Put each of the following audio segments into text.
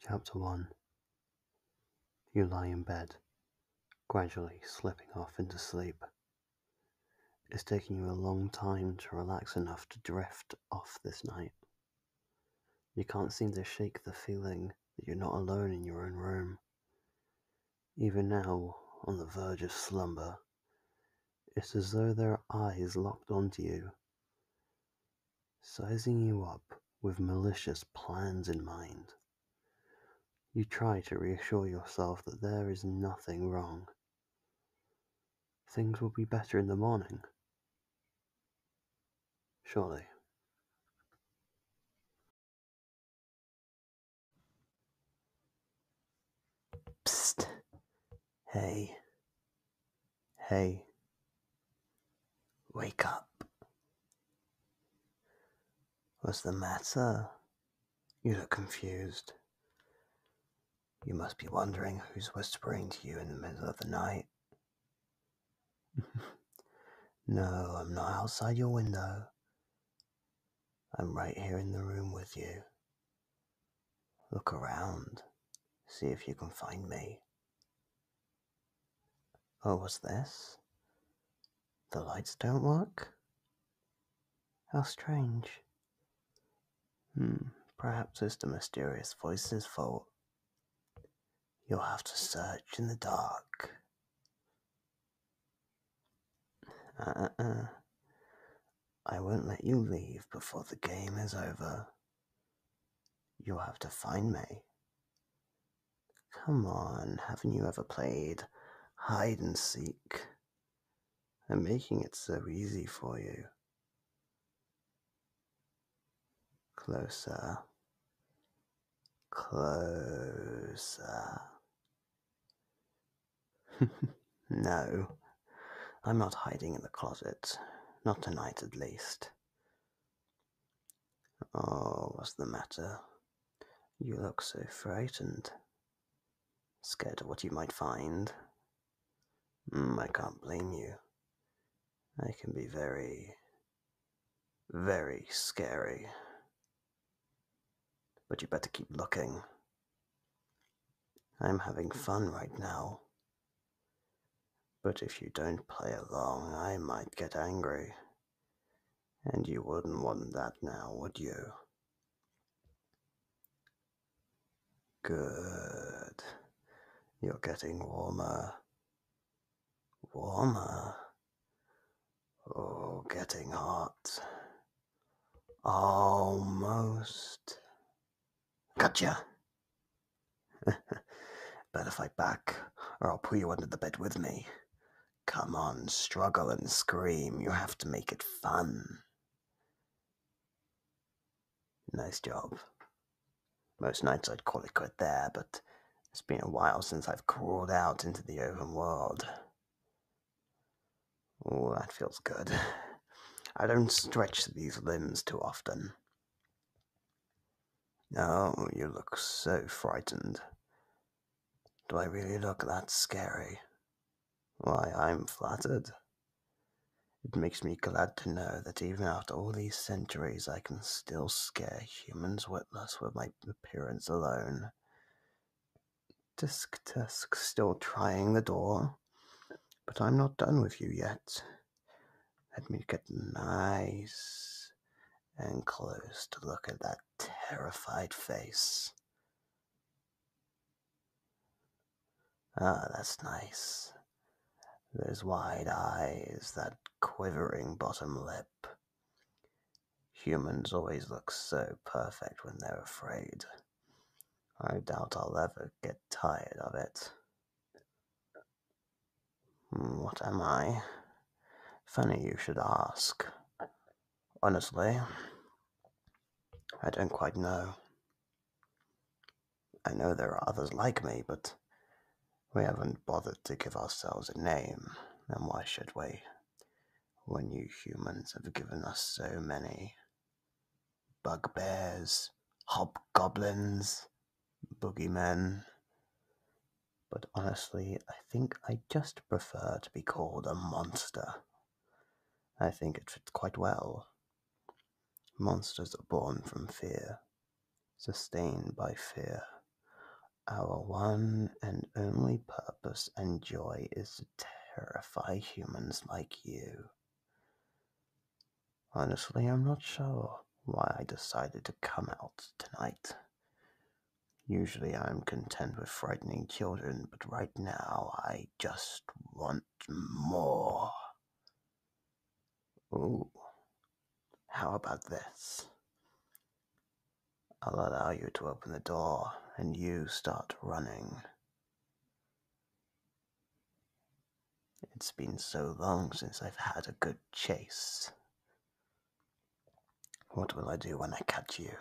Chapter 1 You lie in bed, gradually slipping off into sleep. It's taking you a long time to relax enough to drift off this night. You can't seem to shake the feeling that you're not alone in your own room. Even now, on the verge of slumber, it's as though their eyes locked onto you, sizing you up with malicious plans in mind. You try to reassure yourself that there is nothing wrong. Things will be better in the morning. Surely. Hey, hey, wake up. What's the matter? You look confused. You must be wondering who's whispering to you in the middle of the night. no, I'm not outside your window. I'm right here in the room with you, Look around, see if you can find me. Oh, what's this? The lights don't work? How strange. Hmm, perhaps it's the mysterious voice's fault. You'll have to search in the dark. uh uh. uh. I won't let you leave before the game is over. You'll have to find me. Come on, haven't you ever played hide and seek? I'm making it so easy for you. Closer. Closer. No, I'm not hiding in the closet. Not tonight, at least. Oh, what's the matter? You look so frightened. Scared of what you might find. Hmm, I can't blame you. I can be very, very scary. But you better keep looking. I'm having fun right now. But if you don't play along, I might get angry. And you wouldn't want that now, would you? Good. You're getting warmer. Warmer. Oh, getting hot. Almost Gotcha. Better fight back, or I'll pull you under the bed with me. Come on, struggle and scream. You have to make it fun. Nice job. Most nights I'd call it quit there, but it's been a while since I've crawled out into the open world. Oh, that feels good. I don't stretch these limbs too often. Oh, you look so frightened. Do I really look that scary? Why, I'm flattered. It makes me glad to know that even after all these centuries, I can still scare humans witless with my appearance alone. Disk, disk, still trying the door. But I'm not done with you yet. Let me get nice and close to look at that terrified face. Ah, that's nice. Those wide eyes, that quivering bottom lip. Humans always look so perfect when they're afraid. I doubt I'll ever get tired of it. Hmm, what am I? Funny you should ask. Honestly, I don't quite know. I know there are others like me, but we haven't bothered to give ourselves a name, and why should we? When you humans have given us so many bugbears, hobgoblins, boogeymen. But honestly, I think I just prefer to be called a monster. I think it fits quite well. Monsters are born from fear, sustained by fear. Our one and only purpose and joy is to terrify humans like you. Honestly, I'm not sure why I decided to come out tonight. Usually I'm content with frightening children, but right now I just want more. Ooh, how about this? I'll allow you to open the door and you start running. It's been so long since I've had a good chase. What will I do when I catch you?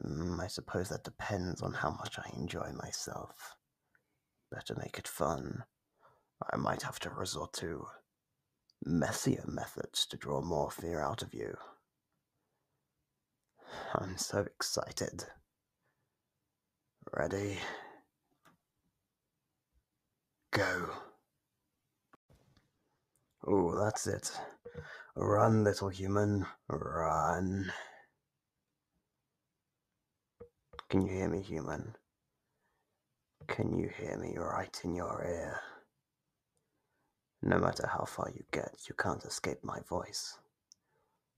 Hmm, I suppose that depends on how much I enjoy myself. Better make it fun. I might have to resort to messier methods to draw more fear out of you. I'm so excited. Ready? Go. Oh, that's it. Run, little human. Run. Can you hear me, human? Can you hear me right in your ear? No matter how far you get, you can't escape my voice.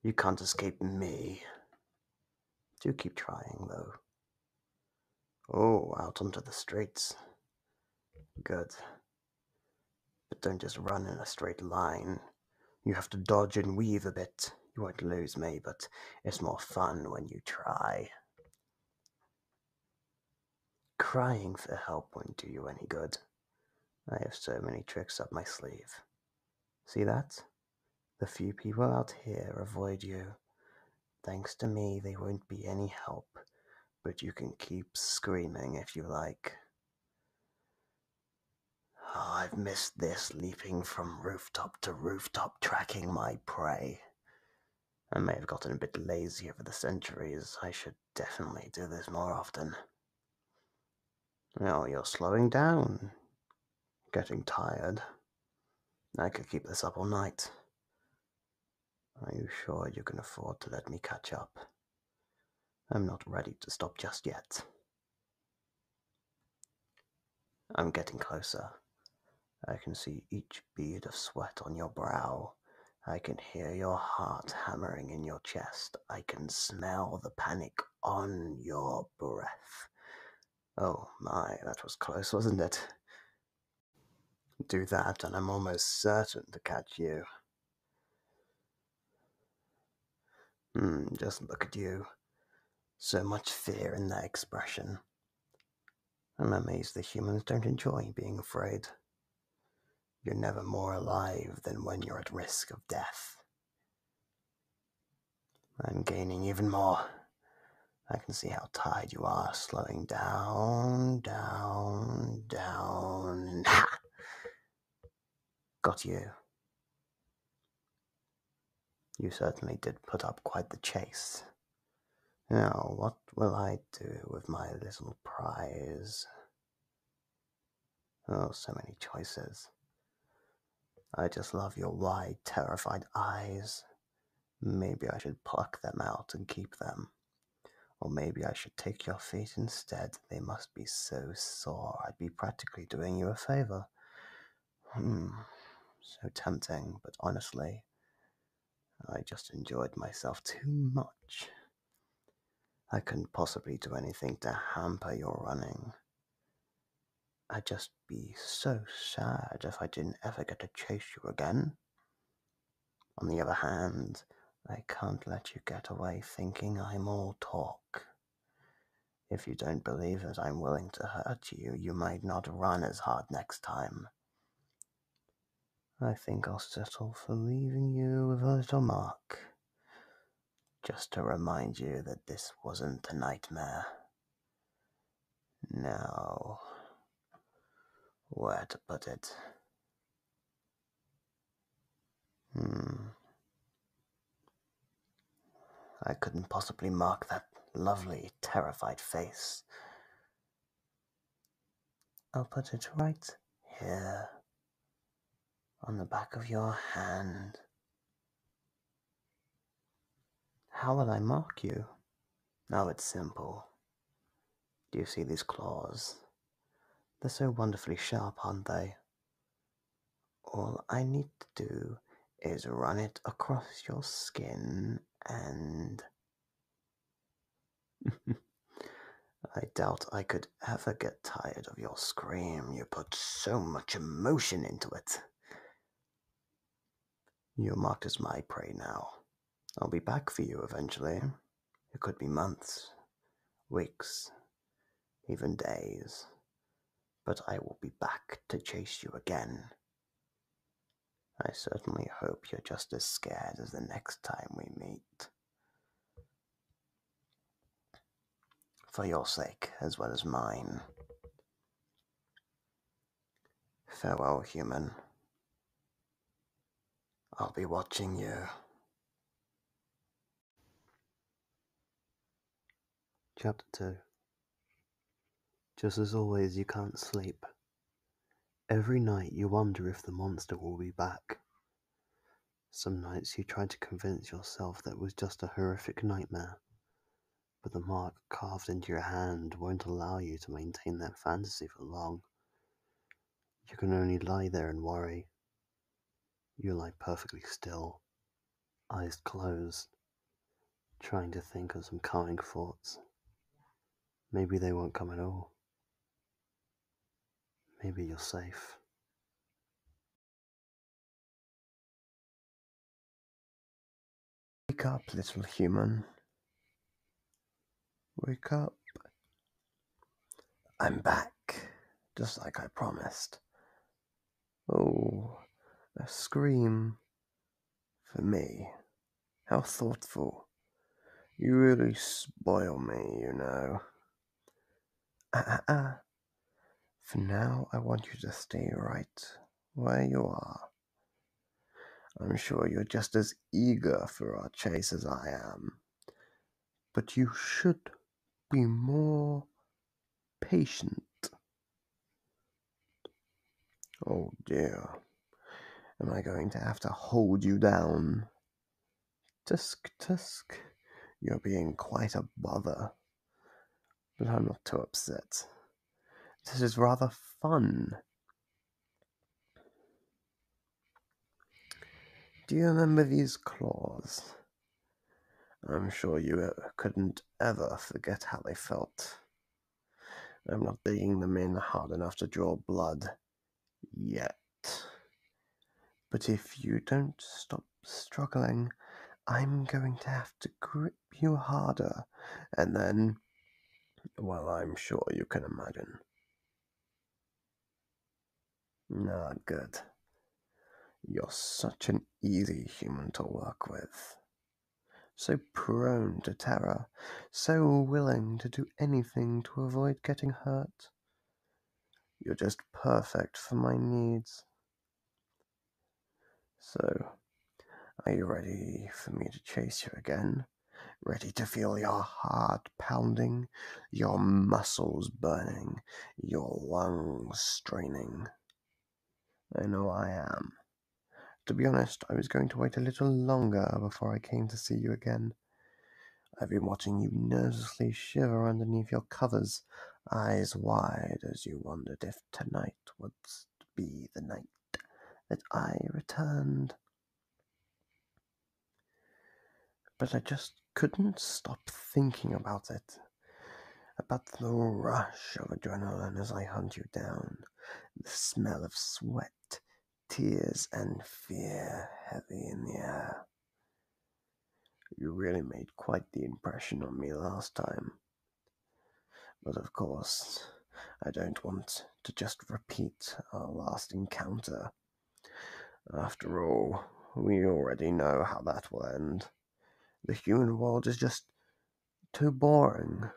You can't escape me. Do keep trying, though. Oh, out onto the streets. Good. But don't just run in a straight line. You have to dodge and weave a bit. You won't lose me, but it's more fun when you try. Crying for help won't do you any good. I have so many tricks up my sleeve. See that? The few people out here avoid you. Thanks to me, they won't be any help, but you can keep screaming if you like. Oh, I've missed this leaping from rooftop to rooftop, tracking my prey. I may have gotten a bit lazy over the centuries. I should definitely do this more often. Well, you're slowing down. Getting tired. I could keep this up all night. Are you sure you can afford to let me catch up? I'm not ready to stop just yet. I'm getting closer. I can see each bead of sweat on your brow. I can hear your heart hammering in your chest. I can smell the panic on your breath. Oh my, that was close, wasn't it? Do that, and I'm almost certain to catch you. Mm, just look at you. So much fear in that expression. I'm amazed the humans don't enjoy being afraid. You're never more alive than when you're at risk of death. I'm gaining even more. I can see how tired you are, slowing down, down, down. Ha! Got you. You certainly did put up quite the chase. Now, what will I do with my little prize? Oh, so many choices. I just love your wide, terrified eyes. Maybe I should pluck them out and keep them. Or maybe I should take your feet instead. They must be so sore, I'd be practically doing you a favor. Hmm, so tempting, but honestly, I just enjoyed myself too much. I couldn't possibly do anything to hamper your running. I'd just be so sad if I didn't ever get to chase you again. On the other hand, I can't let you get away thinking I'm all talk. If you don't believe that I'm willing to hurt you, you might not run as hard next time. I think I'll settle for leaving you with a little mark. Just to remind you that this wasn't a nightmare. Now, where to put it? Hmm. I couldn't possibly mark that lovely, terrified face. I'll put it right here, on the back of your hand. How will I mark you? Now oh, it's simple. Do you see these claws? They're so wonderfully sharp, aren't they? All I need to do is run it across your skin and. I doubt I could ever get tired of your scream. You put so much emotion into it. You're marked as my prey now. I'll be back for you eventually. It could be months, weeks, even days. But I will be back to chase you again. I certainly hope you're just as scared as the next time we meet for your sake as well as mine. Farewell, human. I'll be watching you. Chapter 2 Just as always, you can't sleep. Every night you wonder if the monster will be back. Some nights you try to convince yourself that it was just a horrific nightmare, but the mark carved into your hand won't allow you to maintain that fantasy for long. You can only lie there and worry. You lie perfectly still, eyes closed, trying to think of some calming thoughts. Maybe they won't come at all. Maybe you're safe. Wake up, little human. Wake up. I'm back, just like I promised. Oh, a scream for me. How thoughtful. You really spoil me, you know. Ah, ah, ah. For now, I want you to stay right where you are. I'm sure you're just as eager for our chase as I am, but you should be more patient. Oh dear, am I going to have to hold you down? Tusk, tusk, you're being quite a bother but I'm not too upset. This is rather fun. Do you remember these claws? I'm sure you uh, couldn't ever forget how they felt. I'm not digging them in hard enough to draw blood. Yet. But if you don't stop struggling, I'm going to have to grip you harder. And then, well, I'm sure you can imagine. Not good. You're such an easy human to work with. So prone to terror, so willing to do anything to avoid getting hurt. You're just perfect for my needs. So, are you ready for me to chase you again? Ready to feel your heart pounding, your muscles burning, your lungs straining? I know I am. To be honest, I was going to wait a little longer before I came to see you again. I've been watching you nervously shiver underneath your covers, eyes wide as you wonder if tonight would be the night that I returned. But I just couldn't stop thinking about it, about the rush of adrenaline as I hunt you down, the smell of sweat, tears, and fear heavy in the air. You really made quite the impression on me last time, but of course, I don't want to just repeat our last encounter. After all, we already know how that will end. The human world is just too boring.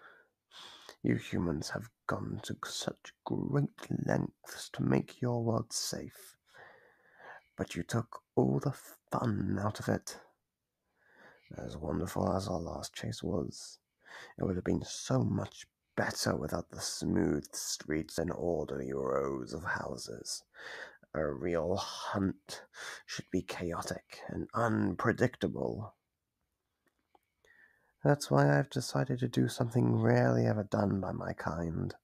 You humans have gone to such great lengths to make your world safe, but you took all the fun out of it. As wonderful as our last chase was, it would have been so much better without the smooth streets and orderly rows of houses. A real hunt should be chaotic and unpredictable. That's why I've decided to do something rarely ever done by my kind.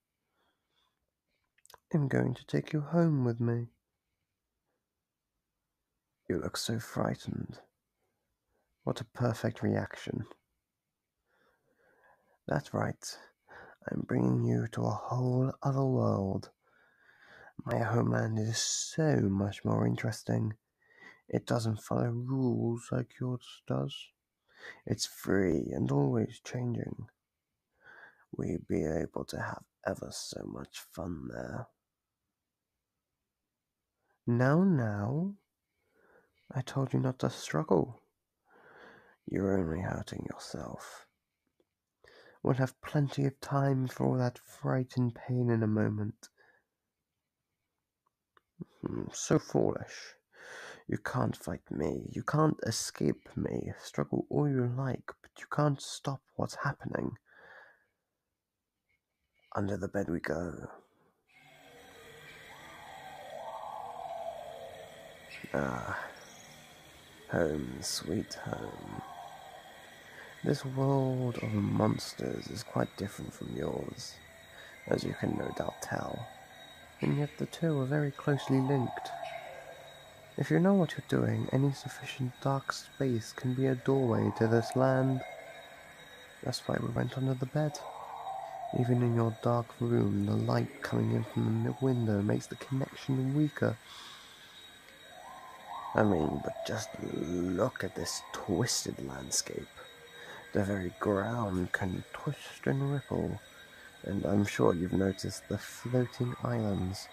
I'm going to take you home with me. You look so frightened. What a perfect reaction. That's right. I'm bringing you to a whole other world. My homeland is so much more interesting. It doesn't follow rules like yours does. It's free and always changing. We'd be able to have ever so much fun there. Now, now, I told you not to struggle. You're only hurting yourself. We'll have plenty of time for all that fright and pain in a moment. Hmm, so foolish. You can't fight me. You can't escape me. Struggle all you like, but you can't stop What's happening? Under the bed we go. Ah, home, sweet home. This world of monsters is quite different from yours, as you can no doubt tell, and yet the two are very closely linked. If you know what you're doing, any sufficient dark space can be a doorway to this land. That's why we went under the bed. Even in your dark room, the light coming in from the window makes the connection weaker. I mean, but just look at this twisted landscape. The very ground can twist and ripple, and I'm sure you've noticed the floating islands.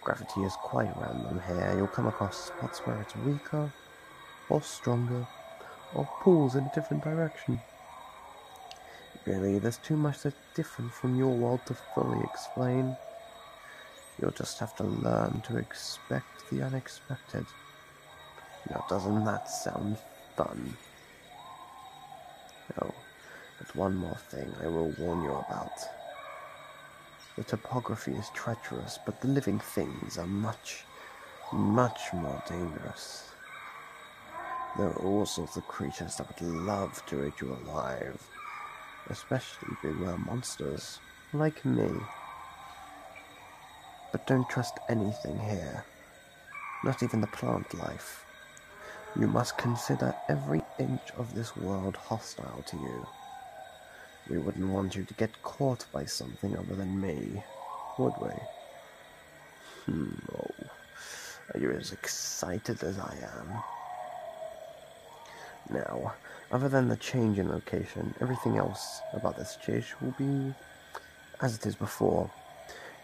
Gravity is quite random here. You'll come across spots where it's weaker, or stronger, or pulls in a different direction. Really, there's too much that's different from your world to fully explain. You'll just have to learn to expect the unexpected. Now, doesn't that sound fun? Oh, but one more thing I will warn you about. The topography is treacherous, but the living things are much, much more dangerous. There are also the creatures that would love to eat you alive, especially if beware monsters like me. But don't trust anything here, not even the plant life. You must consider every inch of this world hostile to you. We wouldn't want you to get caught by something other than me, would we? Hmm, oh. Are as excited as I am? Now, other than the change in location, everything else about this chase will be as it is before.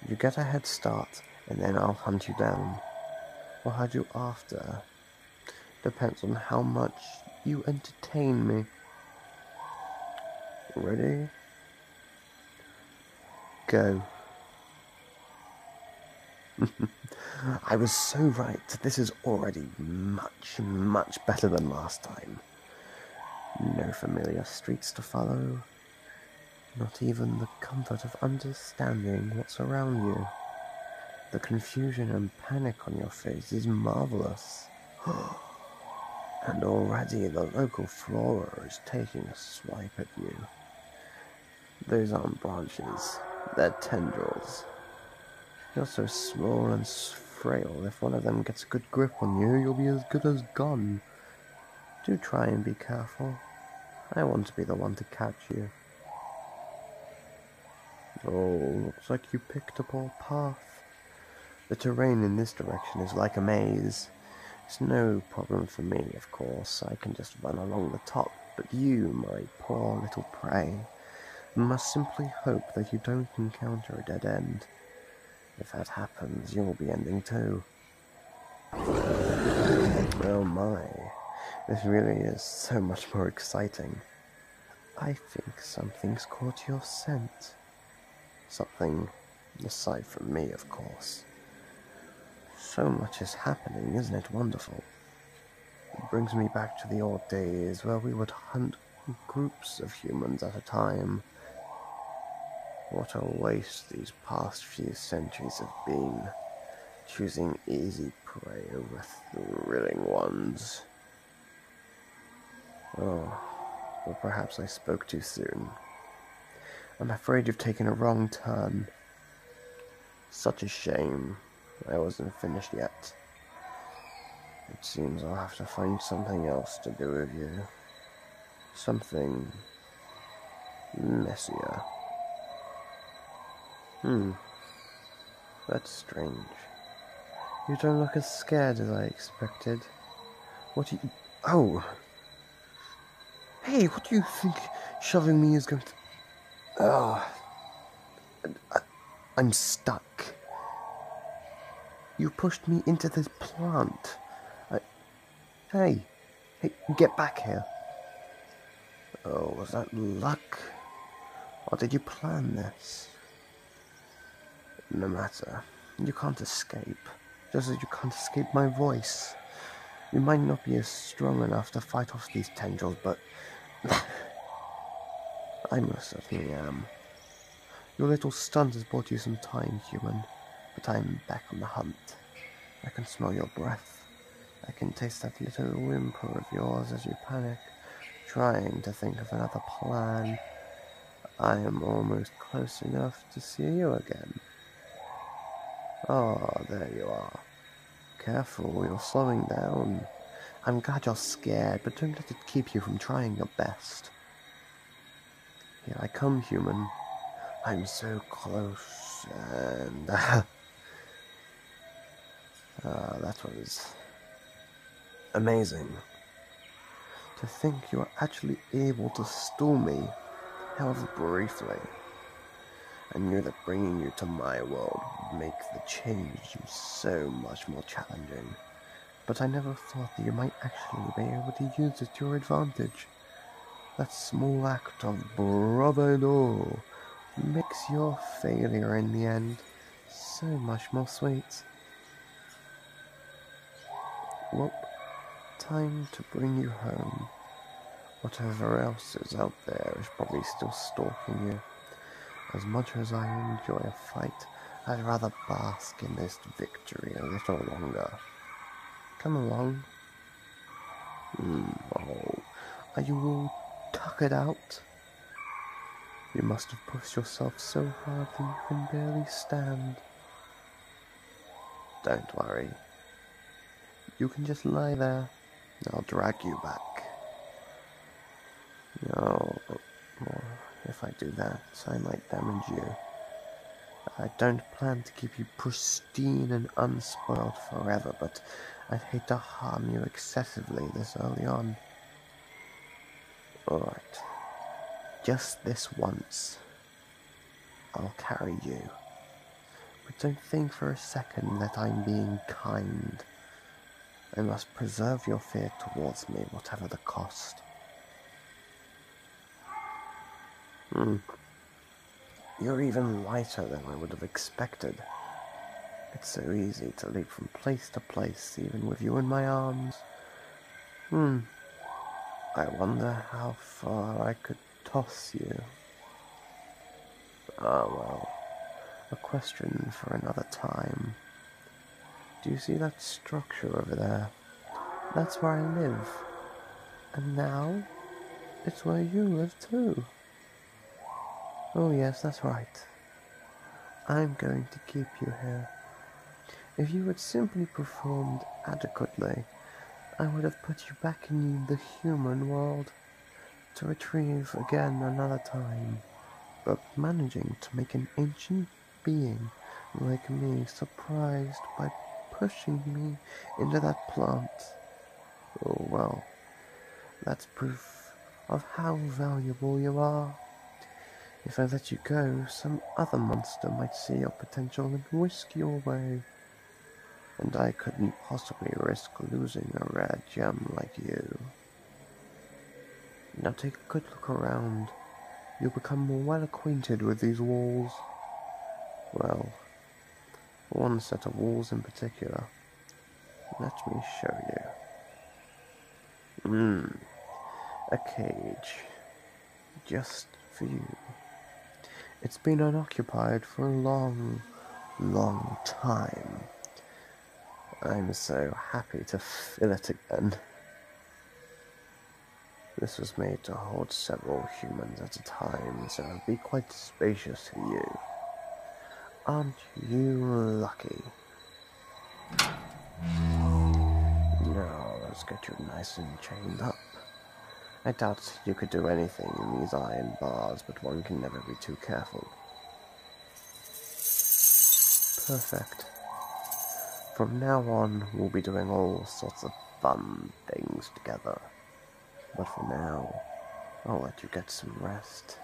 You get a head start, and then I'll hunt you down. We'll hide you after Depends on how much you entertain me. Ready? Go. I was so right. This is already much, much better than last time. No familiar streets to follow. Not even the comfort of understanding what's around you. The confusion and and panic on your face is marvelous. and already the local flora is taking a swipe at you. Those aren't branches, they're tendrils. You're so small and frail, if one of them gets a good grip on you, you'll be as good as gone. Do try and be careful. I want to be the one to catch you. Oh, looks like you picked a poor path. The terrain in this direction is like a maze. It's no problem for me, of course. I can just run along the top, but you, my poor little prey, must simply hope that you don't encounter a dead end. If that happens, you'll be ending too. Well, my, this really is so much more exciting. I think something's caught your scent. Something aside from me, of course. So much is happening, isn't it wonderful? It brings me back to the old days where we would hunt groups of humans at a time. What a waste these past few centuries have been choosing easy prey over thrilling ones. Oh, but perhaps I spoke too soon. I'm afraid you've taken a wrong turn. Such a shame. I wasn't finished yet. It seems I'll have to find something else to do with you. Something messier. Hmm. That's strange. You don't look as scared as I expected. What do you... Oh! Hey, what do you think shoving me is going to... Oh. I, I'm stuck. You pushed me into this plant. Hey. Hey, get back here. Oh, was that luck? Or did you plan this? No matter. You can't escape. Just as you can't escape my voice. You might not be as strong enough to fight off these tendrils, but I most certainly am. Your little stunt has bought you some time, human, but I'm back on the hunt. I can smell your breath. I can taste that little whimper of yours as you panic, trying to think of another plan. I am almost close enough to see you again. Ah, there you are. Careful, you're slowing down. I'm glad you're scared, but don't let it keep you from trying your best. Here I come, human. I'm so close, and... Ah, that was amazing. To think you were actually able to steal me, however briefly. I knew that bringing you to my world would make the change so much more challenging, but I never thought that you might actually be able to use it to your advantage. That small act of bravado makes your failure in the end so much more sweet. Well, time to bring you home. Whatever else is out there is probably still stalking you. As much as I enjoy a fight, I'd rather bask in this victory a little longer. Come along. Mm, oh, are you all tuckered out? You must have pushed yourself so hard that you can barely stand. Don't worry. You can just lie there. I'll drag you back. No, if I do that, I might damage you. I don't plan to keep you pristine and unspoiled forever, but I'd hate to harm you excessively this early on time. Alright. Just this once. I'll carry you. But don't think for a second that I'm being kind. I must preserve your fear towards me, whatever the cost. Hmm. You're even lighter than I would have expected. It's so easy to leap from place to place, even with you in my arms. Hmm. I wonder how far I could toss you. Ah, well. A question for another time. Do you see that structure over there? That's where I live. And now, it's where you live too. Oh, yes, that's right. I'm going to keep you here. If you had simply performed adequately, I would have put you back in the human world to retrieve again another time. But managing to make an ancient being like me surprised by pushing me into that plant. Oh well. That's proof of how valuable you are. If I let you go, some other monster might see your potential and whisk you away. And I couldn't possibly risk losing a rare gem like you. Now take a good look around. You'll become more well acquainted with these walls. Well, one set of walls in particular. Let me show you. Mmm. A cage. Just for you. It's been unoccupied for a long, long time. I'm so happy to fill it again. This was made to hold several humans at a time, so it will be quite spacious for you. Aren't you lucky? Now, let's get you nice and chained up. I doubt you could do anything in these iron bars, but one can never be too careful. Perfect. From now on, we'll be doing all sorts of fun things together. But for now, I'll let you get some rest.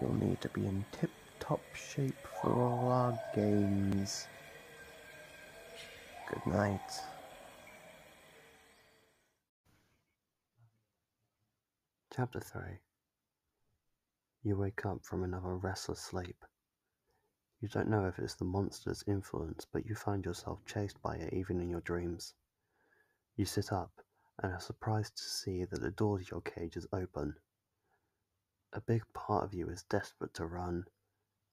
You'll need to be in tip-top shape for all our games. Good night. Chapter 3 You wake up from another restless sleep. You don't know if it's the monster's influence, but you find yourself chased by it even in your dreams. You sit up and are surprised to see that the door to your cage is open. A big part of you is desperate to run,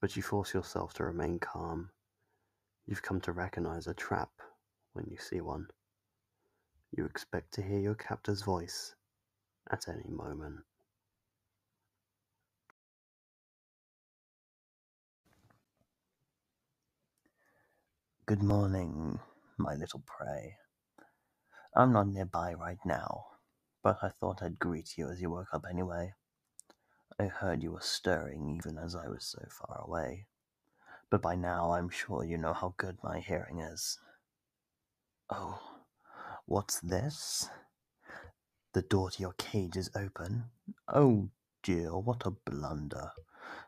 but you force yourself to remain calm. You've come to recognize a trap when you see one. You expect to hear your captor's voice at any moment. Good morning, my little prey. I'm not nearby right now, but I thought I'd greet you as you woke up anyway. I heard you were stirring even as I was so far away, but by now I'm sure you know how good my hearing is. Oh, what's this? The door to your cage is open. Oh dear, what a blunder.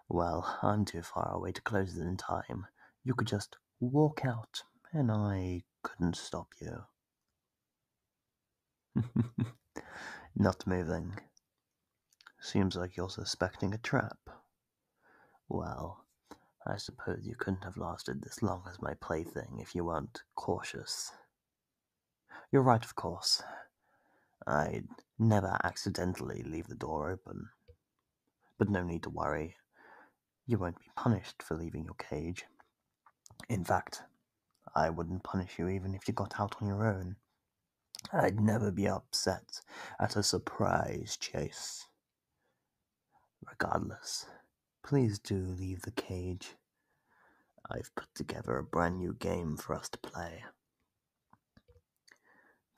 Well, I'm too far away to close it in time. You could just walk out, and I couldn't stop you. Not moving. Seems like you're suspecting a trap. Well, I suppose you couldn't have lasted this long as my plaything if you weren't cautious. You're right, of course. I'd never accidentally leave the door open. But no need to worry, you won't be punished for leaving your cage. In fact, I wouldn't punish you even if you got out on your own. I'd never be upset at a surprise chase. Regardless, please do leave the cage. I've put together a brand new game for us to play.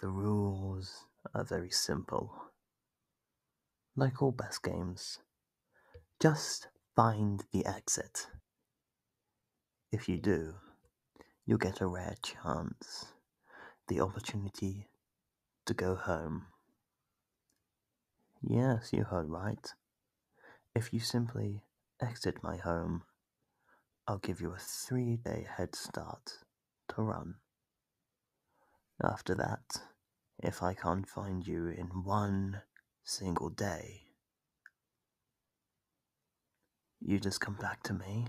The rules are very simple, like all best games. Just find the exit. If you do, you get a rare chance, the opportunity to go home. Yes, you heard right. If you simply exit my home, I'll give you a three day head start to run. After that, if I can't find you in one single day, you just come back to me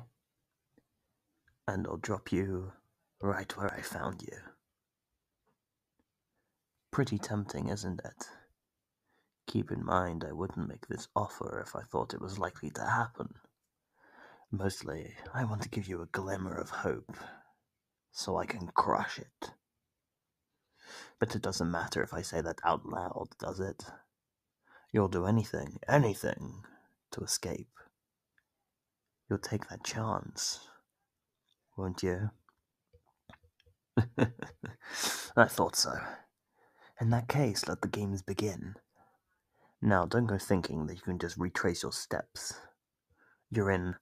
and I'll drop you right where I found you. Pretty tempting, isn't it? Keep in mind, I wouldn't make this offer if I thought it was likely to happen. Mostly, I want to give you a glimmer of hope so I can crush it. But it doesn't matter if I say that out loud, does it? You'll do anything, anything to escape. You'll take that chance, won't you? I thought so. In that case, let the games begin. Now don't go thinking that you can just retrace your steps. You're in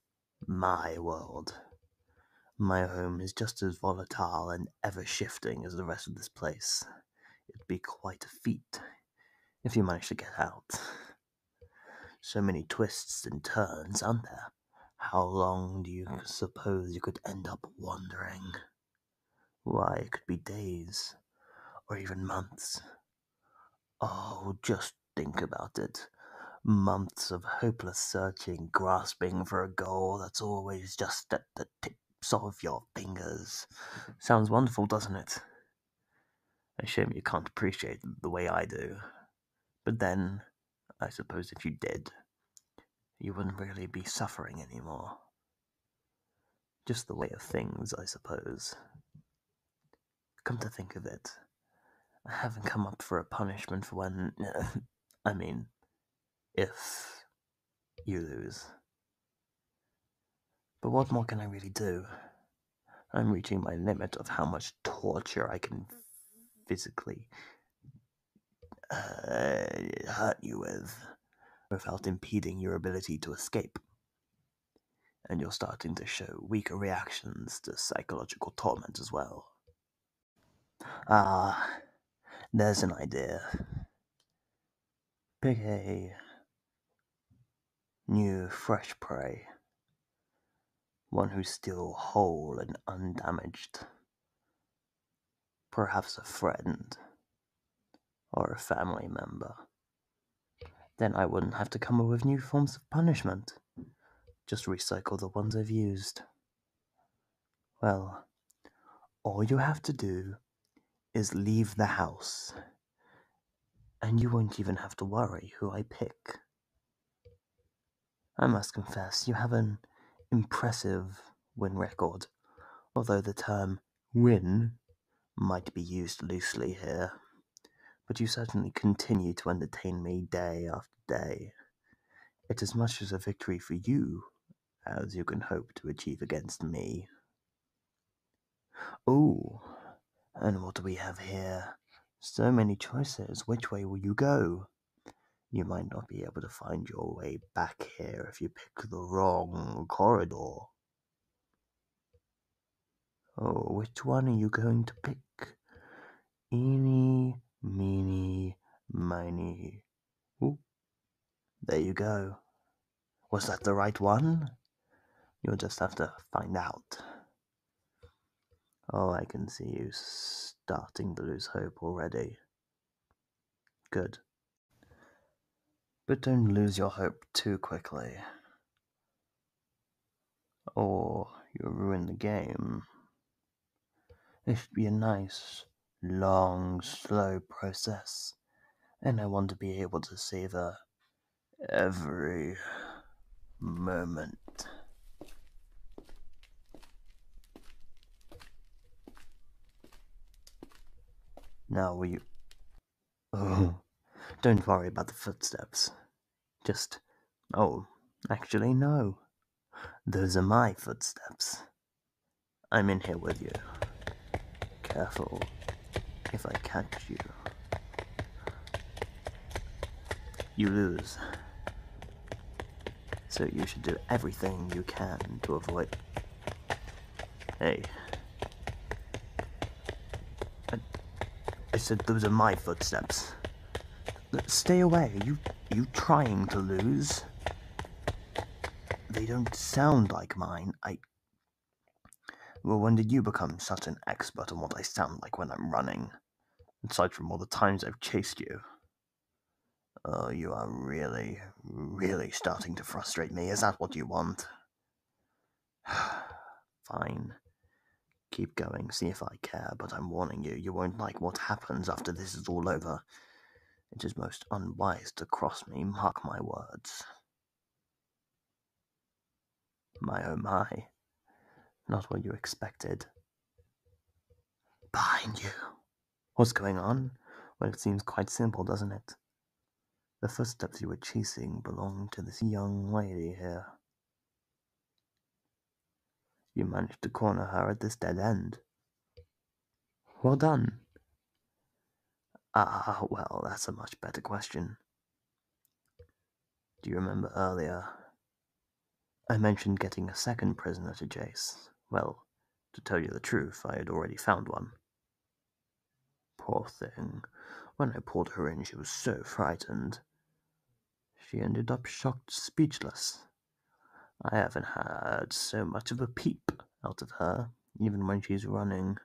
my world. My home is just as volatile and ever shifting as the rest of this place. It'd be quite a feat if you managed to get out. So many twists and turns, aren't there? How long do you suppose you could end up wandering? Why, it could be days, or even months, Oh, just think about it. Months of hopeless searching, grasping for a goal that's always just at the tips of your fingers. Sounds wonderful, doesn't it? A shame you can't appreciate it the way I do. But then, I suppose if you did, you wouldn't really be suffering anymore. Just the way of things, I suppose. Come to think of it, I haven't come up for a punishment for when. I mean, if you lose. But what more can I really do? I'm reaching my limit of how much torture I can physically uh, hurt you with without impeding your ability to escape. And you're starting to show weaker reactions to psychological torment as well. Ah, there's an idea. Pick a new, fresh prey. One who's still whole and undamaged. Perhaps a friend or a family member. Then I wouldn't have to come up with new forms of punishment. Just recycle the ones I've used. Well, all you have to do is leave the house, and you won't even have to worry who I pick. I must confess, you have an impressive win record, although the term win might be used loosely here, but you certainly continue to entertain me day after day. It's as much as a victory for you as you can hope to achieve against me. Oh, and what do we have here? So many choices. Which way will you go? You might not be able to find your way back here if you pick the wrong corridor. Oh, which one are you going to pick? Eeny, meeny, miny. Ooh, there you go. Was that the right one? You'll just have to find out. Oh, I can see you starting to lose hope already. Good. But don't lose your hope too quickly. Or you'll ruin the game. It should be a nice, long, slow process, and I want to be able to savor every moment. Now, will you Oh, don't worry about the footsteps. Just. Oh, actually, no. Those are my footsteps. I'm in here with you. Careful if I catch you. You lose. So you should do everything you can to avoid. Hey, I, said those are my footsteps. Stay away. You you trying to lose? They don't sound like mine. I Well, when did you become such an expert on what I sound like when I'm running? Aside from all the times I've chased you. Oh, you are really, really starting to frustrate me. Is that what you want? Fine. Keep going, see if I care, but I'm warning you, you won't like what happens after this is all over. It is most unwise to cross me, mark my words. My oh my. Not what you expected. Behind you. What's going on? Well, it seems quite simple, doesn't it? The footsteps you were chasing belonged to this young lady here. You managed to corner her at this dead end. Well done. Ah, well, that's a much better question. Do you remember earlier? I mentioned getting a second prisoner to Jace. Well, to tell you the truth, I had already found one. Poor thing. When I pulled her in, she was so frightened. She ended up shocked, speechless. I haven't had so much of a peep out of her, even when she's running.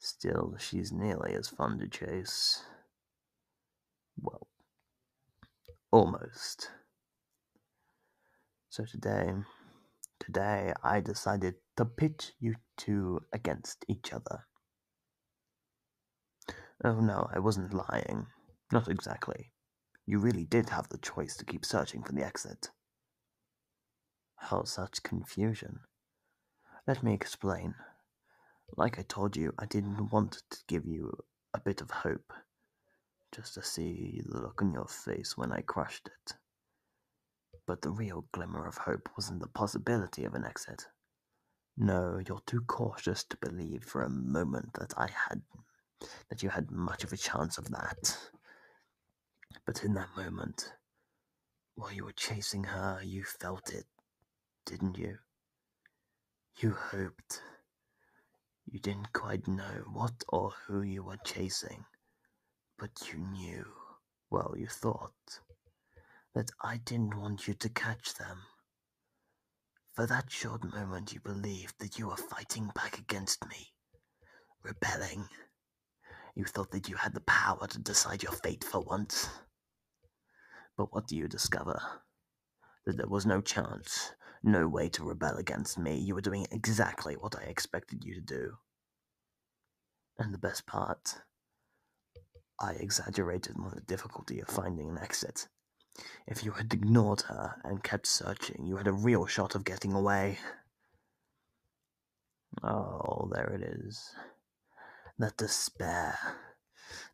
Still, she's nearly as fun to chase. Well, almost. So today, today I decided to pit you two against each other. Oh no, I wasn't lying. Not exactly. You really did have the choice to keep searching for the exit. How such confusion? Let me explain. Like I told you, I didn't want to give you a bit of hope, just to see the look on your face when I crushed it. But the real glimmer of hope was in the possibility of an exit. No, you're too cautious to believe for a moment that I had that you had much of a chance of that. But in that moment, while you were chasing her, you felt it, didn't you? You hoped. You didn't quite know what or who you were chasing, but you knew. Well, you thought that I didn't want you to catch them. For that short moment, you believed that you were fighting back against me, rebelling. You thought that you had the power to decide your fate for once. But what do you discover? That there was no chance, no way to rebel against me. You were doing exactly what I expected you to do. And the best part, I exaggerated on the difficulty of finding an exit. If you had ignored her and kept searching, you had a real shot of getting away. Oh, there it is. That despair.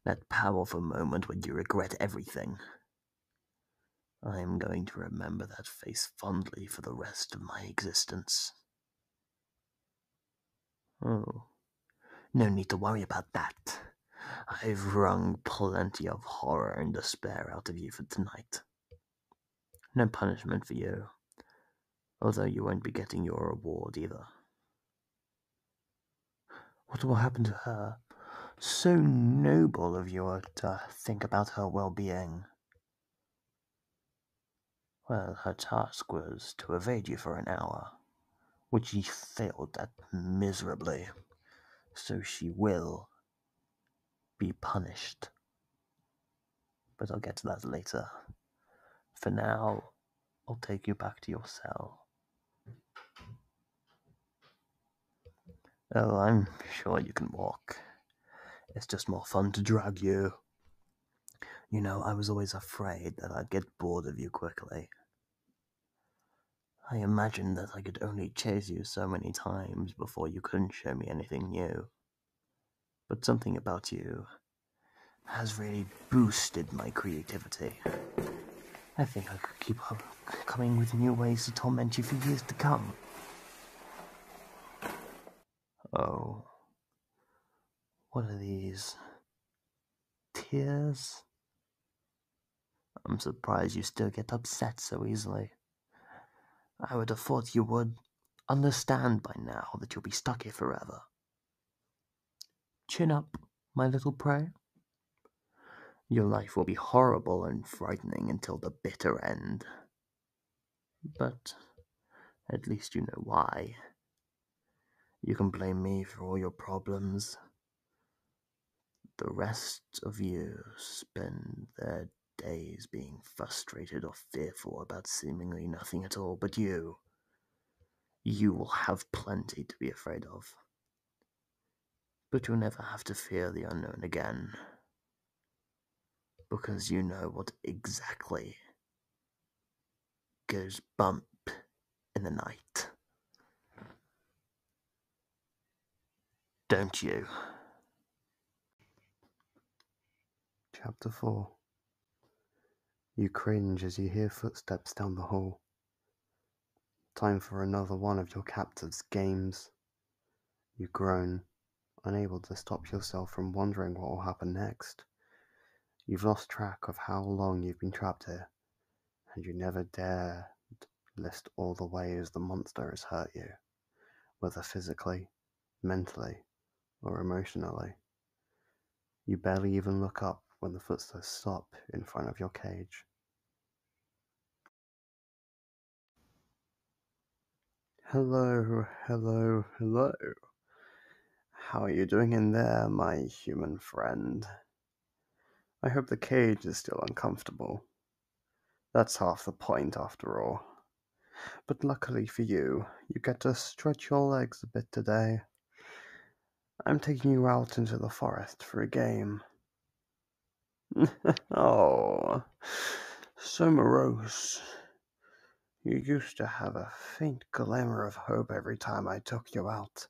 That powerful moment when you regret everything. I am going to remember that face fondly for the rest of my existence. Oh, no need to worry about that. I've wrung plenty of horror and despair out of you for tonight. No punishment for you, although you won't be getting your reward either. What will happen to her? So noble of you uh, to think about her well being. Well, her task was to evade you for an hour, which she failed at miserably, so she will be punished. But I'll get to that later. For now, I'll take you back to your cell. Oh, I'm sure you can walk. It's just more fun to drag you. You know, I was always afraid that I'd get bored of you quickly. I imagined that I could only chase you so many times before you couldn't show me anything new. But something about you has really boosted my creativity. I think I could keep up coming with new ways to torment you for years to come. Oh, what are these? Tears? I'm surprised you still get upset so easily. I would have thought you would understand by now that you'll be stuck here forever. Chin up, my little prey. Your life will be horrible and frightening until the bitter end. But at least you know why you can blame me for all your problems. The rest of you spend their days being frustrated or fearful about seemingly nothing at all, but you, you will have plenty to be afraid of. But you'll never have to fear the unknown again, because you know what exactly goes bump in the night. Don't you? Chapter 4 You cringe as you hear footsteps down the hall. Time for another one of your captive's games. You groan, unable to stop yourself from wondering what will happen next. You've lost track of how long you've been trapped here, and you never dare list all the ways the monster has hurt you, whether physically, mentally, or emotionally. You barely even look up when the footsteps stop in front of your cage. Hello, hello, hello. How are you doing in there, my human friend? I hope the cage is still uncomfortable. That's half the point, after all. But luckily for you, you get to stretch your legs a bit today. I'm taking you out into the forest for a game. oh, so morose. You used to have a faint glimmer of hope every time I took you out,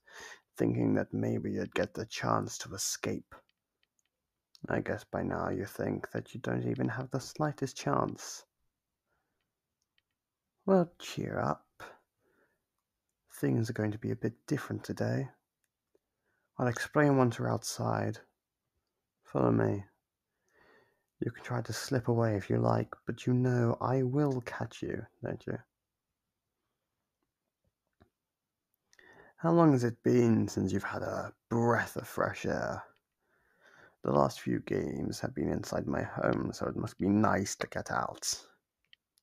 thinking that maybe you'd get the chance to escape. I guess by now you think that you don't even have the slightest chance. Well, cheer up. Things are going to be a bit different today. I'll explain once we're outside. Follow me. You can try to slip away if you like, but you know I will catch you, don't you? How long has it been since you've had a breath of fresh air? The last few games have been inside my home, so it must be nice to get out.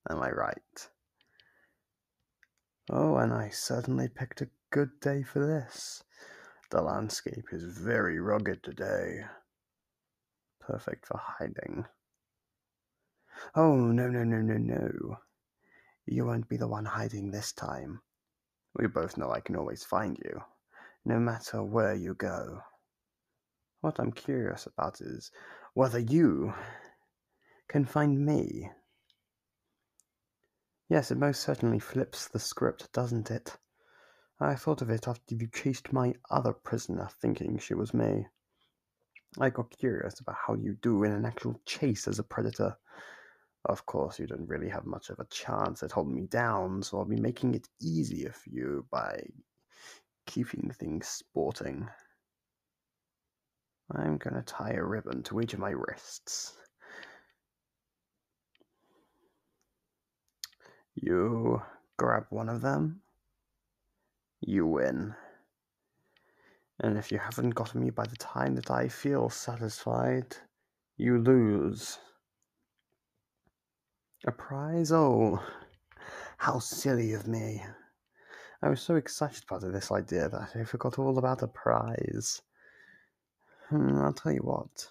Am I right? Oh, and I certainly picked a good day for this. The landscape is very rugged today. Perfect for hiding. Oh, no, no, no, no, no. You won't be the one hiding this time. We both know I can always find you, no matter where you go. What I'm curious about is whether you can find me. Yes, it most certainly flips the script, doesn't it? I thought of it after you chased my other prisoner, thinking she was me. I got curious about how you do in an actual chase as a predator. Of course, you don't really have much of a chance at holding me down, so I'll be making it easier for you by keeping things sporting. I'm gonna tie a ribbon to each of my wrists. You grab one of them, you win. And if you haven't gotten me by the time that I feel satisfied, you lose. A prize? Oh, how silly of me. I was so excited about this idea that I forgot all about a prize. Hmm, I'll tell you what.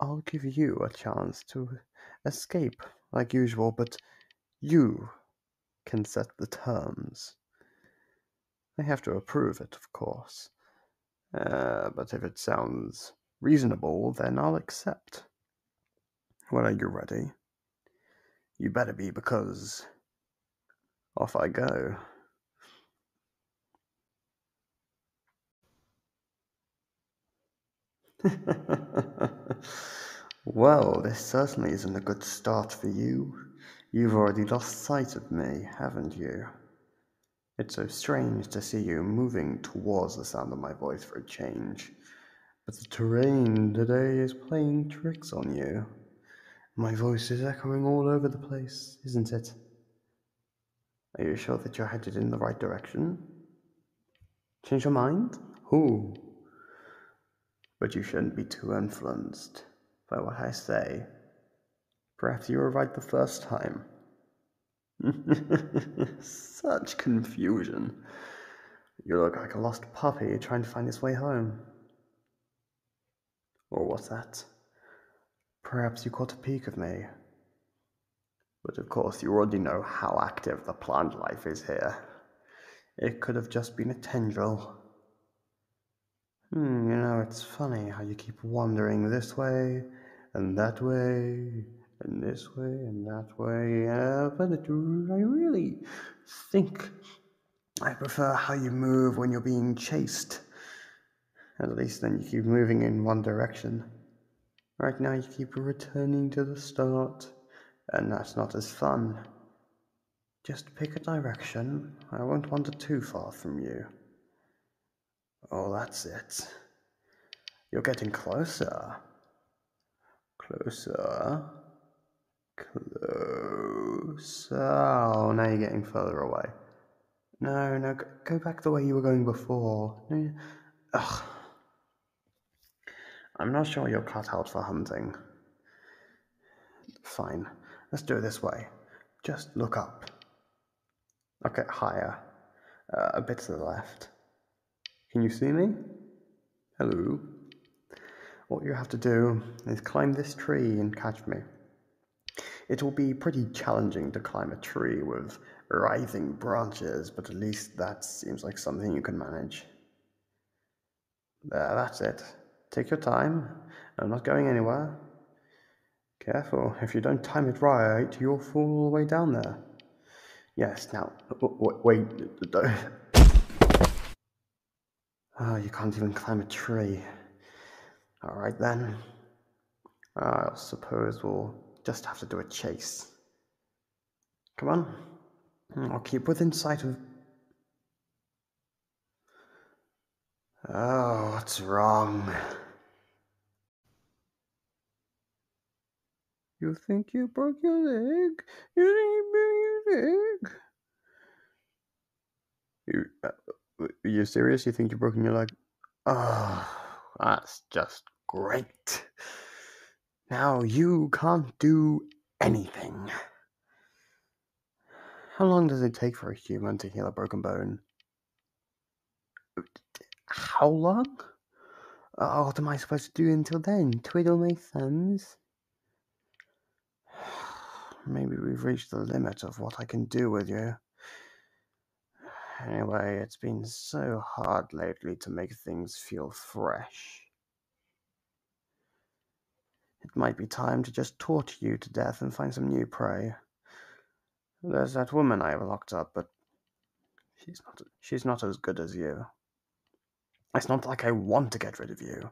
I'll give you a chance to escape like usual, but you can set the terms. I have to approve it, of course. Uh, but if it sounds reasonable, then I'll accept. When are you ready? You better be, because off I go. well, this certainly isn't a good start for you. You've already lost sight of me, haven't you? It's so strange to see you moving towards the sound of my voice for a change. But the terrain today is playing tricks on you. My voice is echoing all over the place, isn't it? Are you sure that you're headed in the right direction? Change your mind? Who? But you shouldn't be too influenced by what I say. Perhaps you were right the first time. Such confusion. You look like a lost puppy trying to find its way home. Or what's that? Perhaps you caught a peek of me. But of course, you already know how active the plant life is here. It could have just been a tendril. Hmm, you know, it's funny how you keep wandering this way and that way and this way and that way. Uh, but I really think I prefer how you move when you're being chased. At least then you keep moving in one direction. Right now you keep returning to the start, and that's not as fun. Just pick a direction. I won't wander too far from you. Oh, that's it. You're getting closer. Closer. Closer. Oh, now you're getting further away. No, no, go back the way you were going before. ugh. I'm not sure you're cut out for hunting. Fine. Let's do it this way. Just look up. Okay, higher. Uh, a bit to the left. Can you see me? Hello. What you have to do is climb this tree and catch me. It will be pretty challenging to climb a tree with writhing branches, but at least that seems like something you can manage. There, that's it. Take your time. I'm not going anywhere. Careful, if you don't time it right, you'll fall all the way down there. Yes, now, wait, do ah, you can't even climb a tree. Alright then. I suppose we'll just have to do a chase. Come on. Hmm, I'll keep within sight of. Oh, what's wrong? You think you broke your leg? You think you broke your leg? You, uh, you serious? You think you broke your leg? Oh, that's just great. Now you can't do anything. How long does it take for a human to heal a broken bone? How long? Oh, what am I supposed to do until then? Twiddle my thumbs? Maybe we've reached the limit of what I can do with you. Anyway, it's been so hard lately to make things feel fresh. It might be time to just torture you to death and find some new prey. There's that woman I locked up, but she's not she's not as good as you. It's not like I want to get rid of you.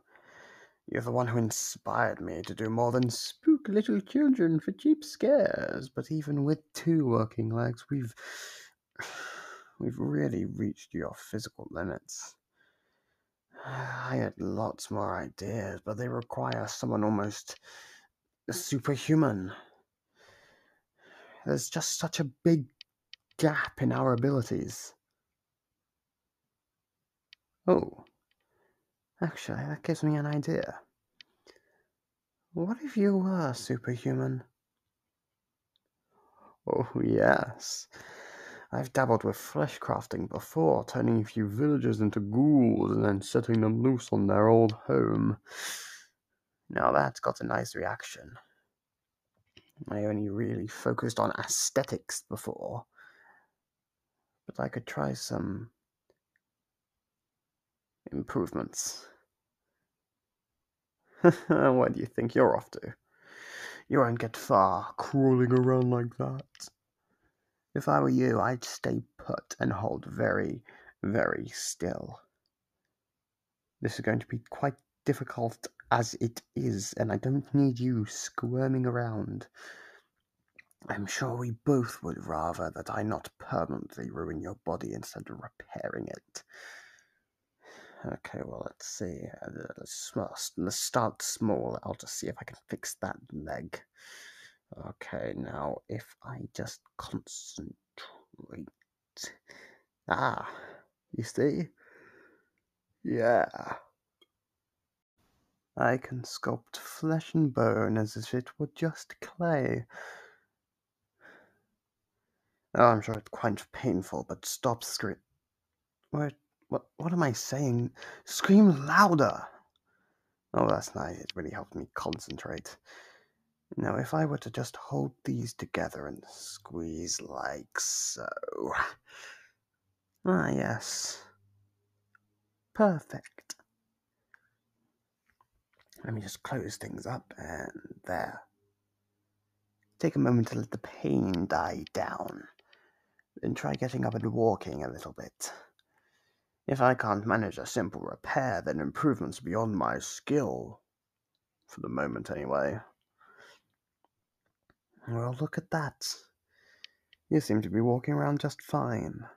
You're the one who inspired me to do more than spook little children for cheap scares, but even with two working legs, we've We've really reached your physical limits. I had lots more ideas, but they require someone almost superhuman. There's just such a big gap in our abilities. Oh, actually, that gives me an idea. What if you were superhuman? Oh, yes. I've dabbled with flesh crafting before, turning a few villagers into ghouls and then setting them loose on their old home. Now that's got a nice reaction. I only really focused on aesthetics before, but I could try some improvements. Where do you think you're off to? You won't get far crawling around like that. If I were you, I'd stay put and hold very, very still. This is going to be quite difficult as it is, and I don't need you squirming around. I'm sure we both would rather that I not permanently ruin your body instead of repairing it. Okay, well, let's see. Let's, start small. I'll just see if I can fix that leg. Okay, now if I just concentrate. Ah, you see? Yeah. I can sculpt flesh and bone as if it were just clay. Oh, I'm sure it's quite painful, but stop scream. What, what, what am I saying? Scream louder! Oh, that's nice. It really helped me concentrate. Now, if I were to just hold these together and squeeze like so. Ah, yes. Perfect. Let me just close things up and there. Take a moment to let the pain die down. Then try getting up and walking a little bit. If I can't manage a simple repair, then improvement's beyond my skill. For the moment, anyway. Well, look at that. You seem to be walking around just fine.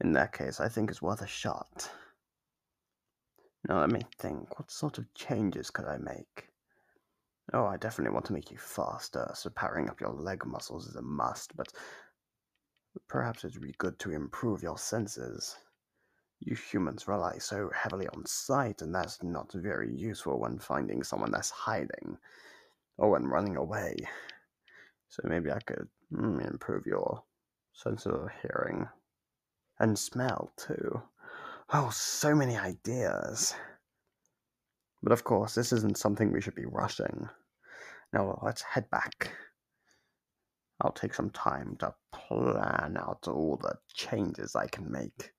In that case, I think it's worth a shot. Now let me think, what sort of changes could I make? Oh, I definitely want to make you faster, so powering up your leg muscles is a must, but perhaps it would be good to improve your senses. You humans rely so heavily on sight, and that's not very useful when finding someone that's hiding or when running away. So maybe I could hmm, improve your sense of hearing and smell, too. Oh, so many ideas. But of course, this isn't something we should be rushing. Now, let's head back. I'll take some time to plan out all the changes I can make.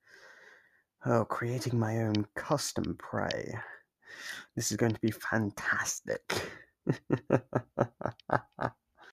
Oh, creating my own custom prey. This is going to be fantastic.